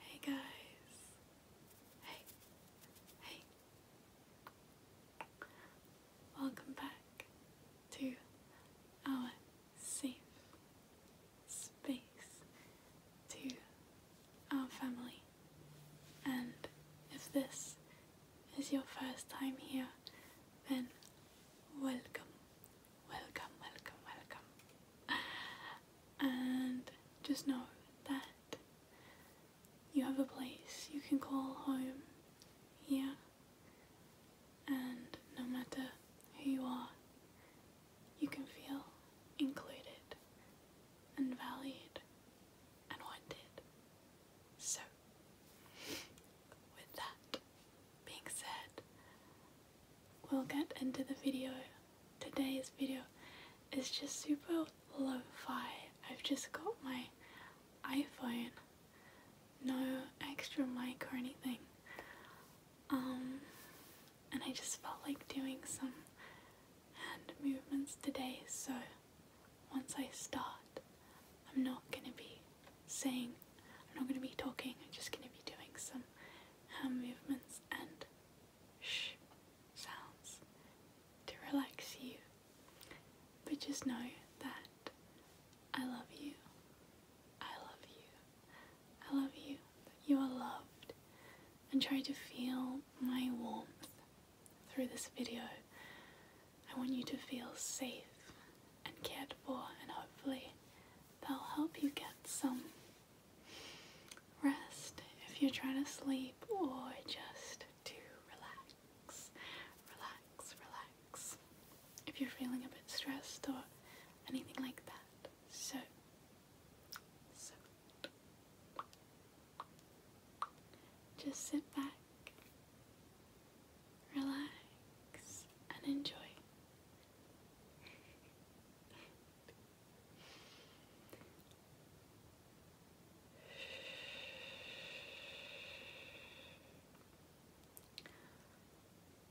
Hey guys. Hey. Hey. Welcome back to our safe space to our family. And if this is your first time here, then welcome, welcome, welcome, welcome. And just know that you have a place you can call home here, and no matter who you are, you can feel included and valued and wanted. So, with that being said, we'll get into the video. Today's video is just super low fi I've just got my iPhone, no extra mic or anything. Um, and I just felt like doing some hand movements today, so once I start, I'm not going to be saying, I'm not going to be talking, I'm just going to be doing some hand movements and shh sounds to relax you. But just know that I love you I love you. I love you. You are loved. And try to feel my warmth through this video. I want you to feel safe and cared for and hopefully that'll help you get some rest if you're trying to sleep or just to relax, relax, relax. If you're feeling a bit stressed or anything like that. So, so, just sit back, relax, and enjoy.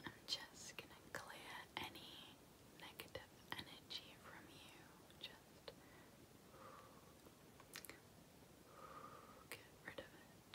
I'm just going to clear any negative energy from you. Just get rid of it.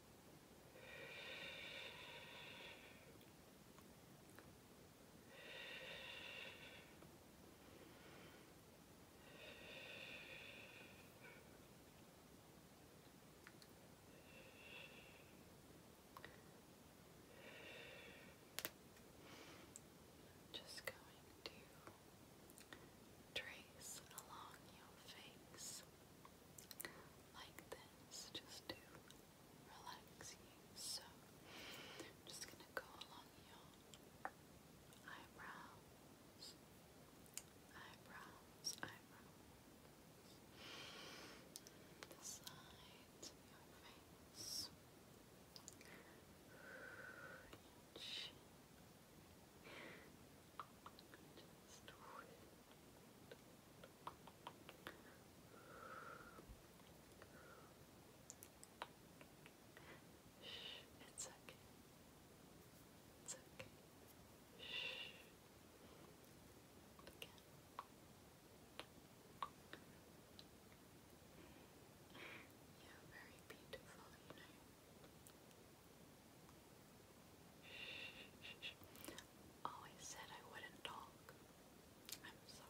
Just going to trace along your face like this just to relax you. So, I'm just going to go along your eyebrows, eyebrows, eyebrows, the sides of your face, just it's okay. It's okay. Shh. Again. you very beautiful, you know. Always said I wouldn't talk. I'm sorry.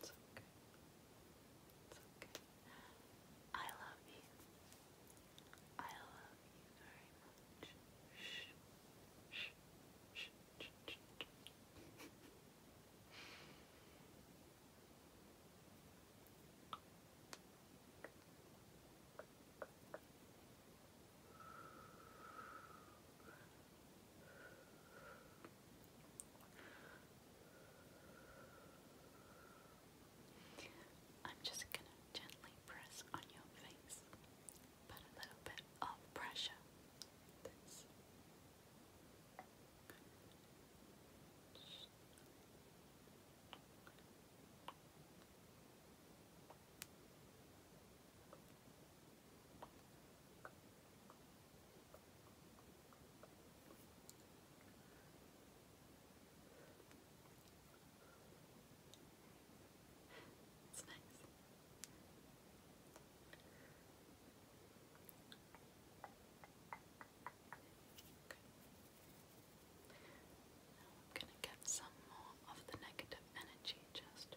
It's okay. It's I love you. I love you very much. Shh. Shh. Shh. Shh. Shh. Shh. I'm just going to gently press on your face, put a little bit of pressure. It's nice. Now I'm going to get some more of the negative energy just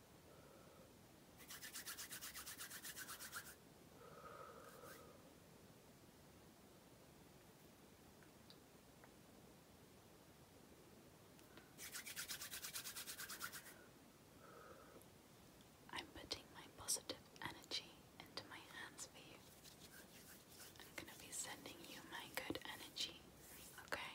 I'm putting my positive energy into my hands for you. I'm going to be sending you my good energy, okay?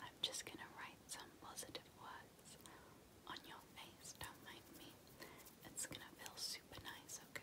I'm just gonna write some positive words on your face, don't mind me. It's gonna feel super nice, okay?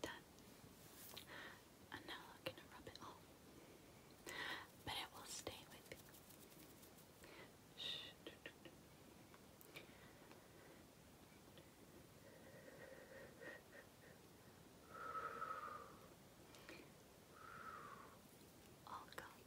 Done. I'm gonna rub it off. But it will stay with you. All gone.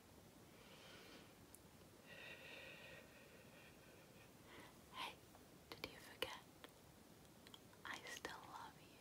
Hey, did you forget? I still love you.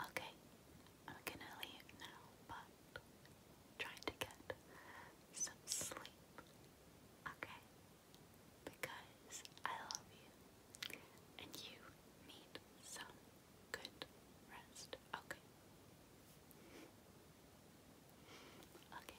Okay, I'm gonna leave now, but try to get some sleep, okay? Because I love you and you need some good rest, okay? Okay,